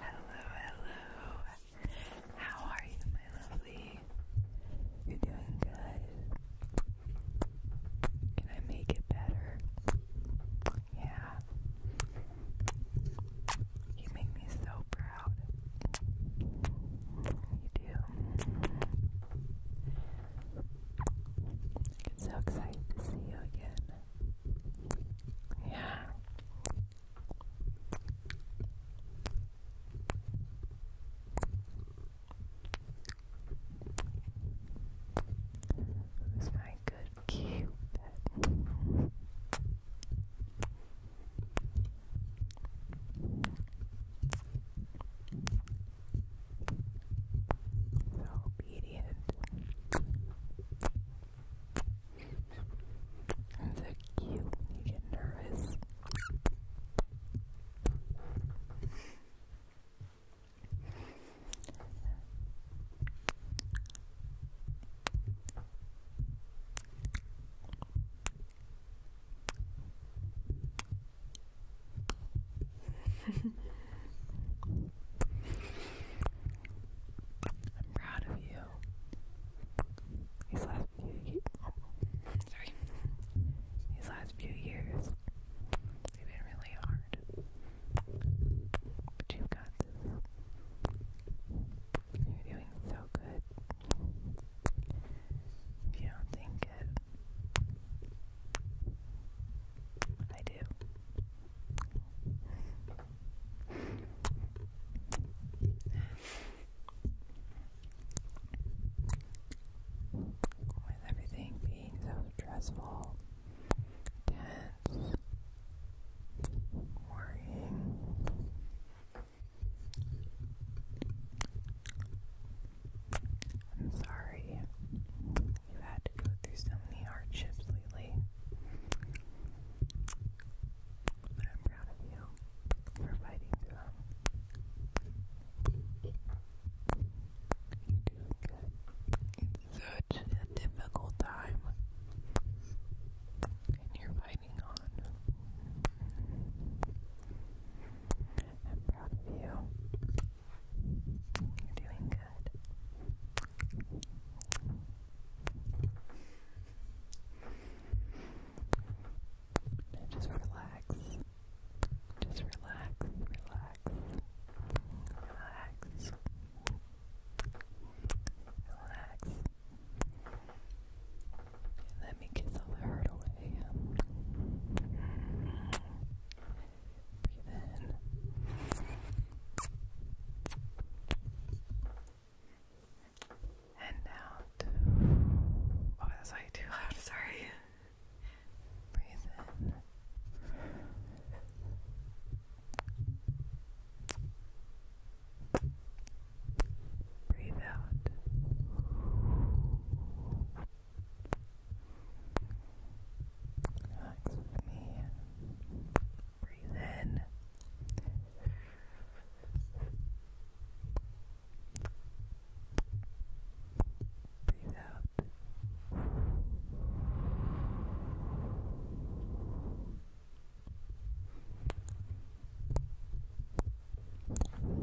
hello, hello. How are you, my lovely? You're doing good. Can I make it better? Yeah. You make me so proud. You do. I'm so excited to see you again. Yeah. Who's my good Cupid? So obedient and so cute. You get nervous. I'm proud of you. These last few years, sorry, these last few years, they've been really hard. But you've got this. You're doing so good. If you don't think it, I do. With everything being so stressful, tense, worrying. I'm sorry You've had to go through so many hardships lately. But I'm proud of you for fighting through It's such a difficult time. And you're fighting on. I'm proud of you. You're doing good. just relax. Just relax, relax, relax, relax. Let me kiss all the hurt away. Breathe in. And out. Oh, that's way too loud. Sorry. Breathe in. Breathe out. Relax with me. Breathe in. Breathe out.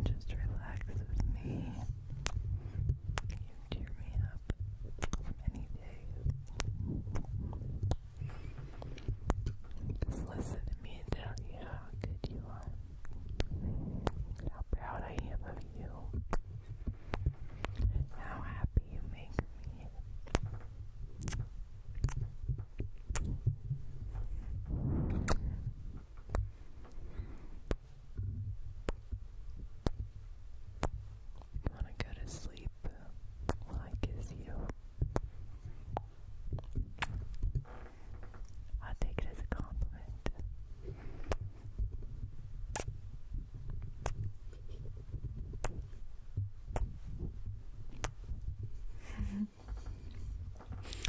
Just relax with me. You cheer me up any day. Just listen to me tell you how good you are, how proud I am of you, how happy you make me. Wanna go to sleep I kiss you? i take it as a compliment.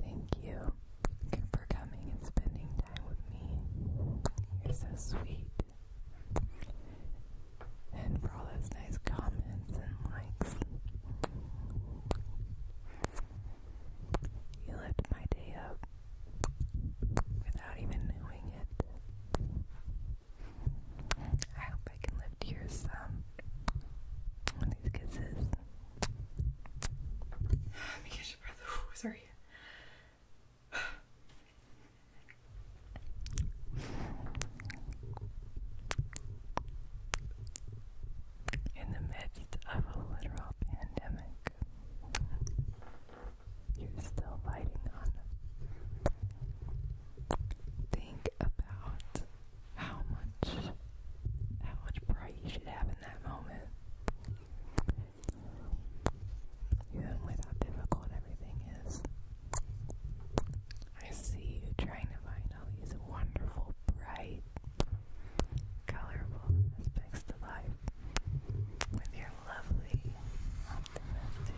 Thank you for coming and spending time with me. You're so sweet. And for all those nice comments and likes. You lit my day up without even knowing it. I hope I can lift yours some with these kisses. Let me get your breath. sorry. In the midst of a literal pandemic, you're still fighting on. Think about how much, how much pride you should have in that moment even with difficult everything is. I see you trying to find all these wonderful, bright, colorful aspects to life with your lovely, optimistic,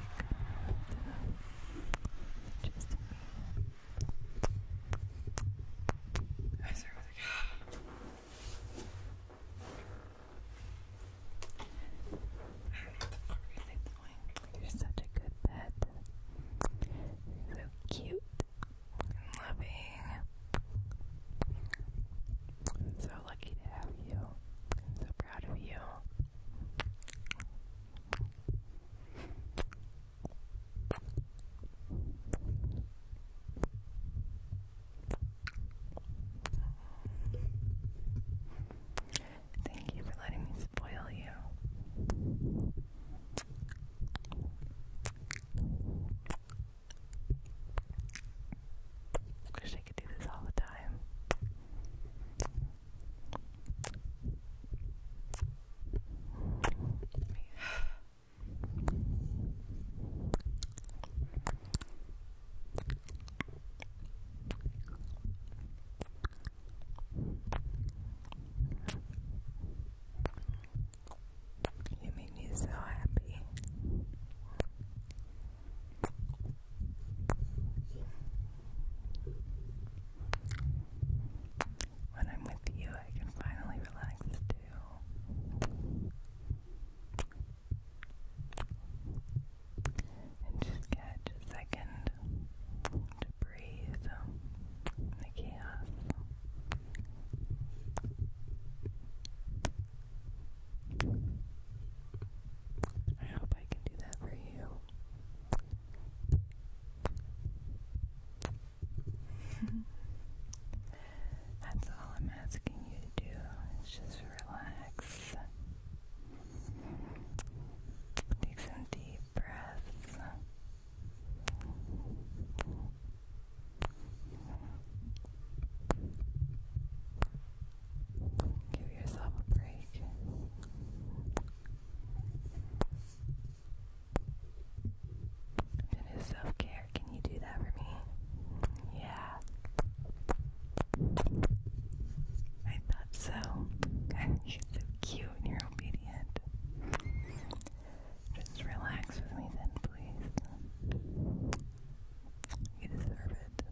just you're such a good pet. So cute and loving. i so lucky to have you. so proud of you. Thank you for letting me spoil you. Wish I could do this all the time. You make me so happy. When I'm with you, I can finally relax too. And just catch a second to breathe in the chaos. I hope I can do that for you. That's all I'm asking you to do is just relax. Take some deep breaths. Give yourself a break. It is self care. Can you do that for me? Yeah. I thought so. you're so cute and you're obedient. Just relax with me then, please. You deserve it.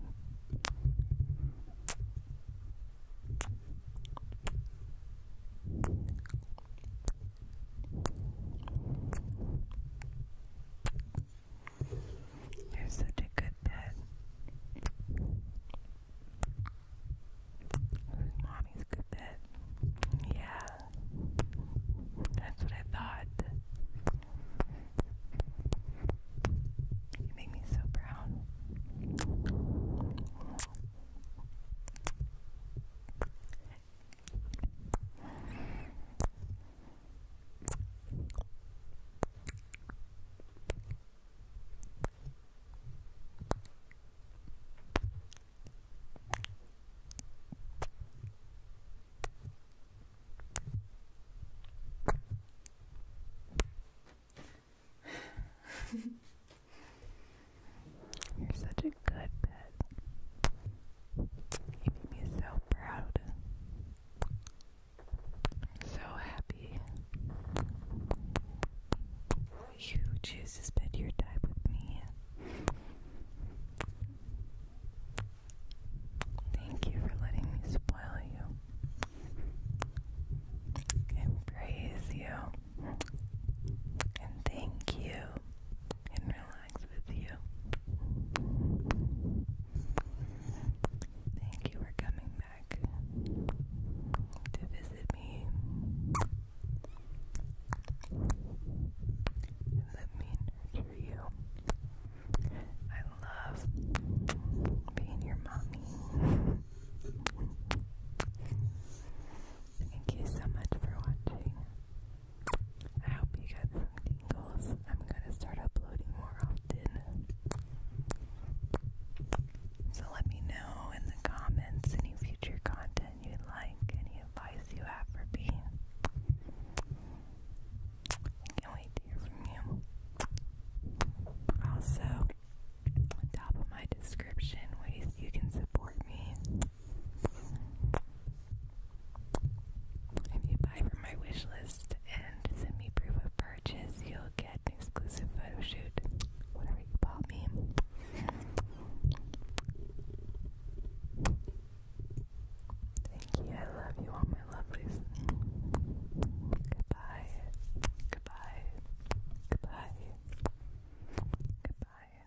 You're such a good pet. Mommy's good pet. Yeah. That's what I thought. You make me so proud. You're such a good pet. You make me so proud. So happy. You choose to spend your time with me. Thank you for letting me spoil you and praise you and thank you and relax relax with you. Thank you for coming back to visit me. let me nurture you. I love being your mommy. Thank you so much for watching. I hope you got some tingles. I'm gonna start uploading more often. So let me know in the comments any future content you'd like, any advice you have for me. can't wait to hear from you. Also, on top of my description, ways you can support me. If you buy from my wish list and send me proof of purchase, you'll get an exclusive photo shoot. Whatever you bought me. Thank you. I love you all my lovelies. Goodbye. Goodbye. Goodbye. Goodbye.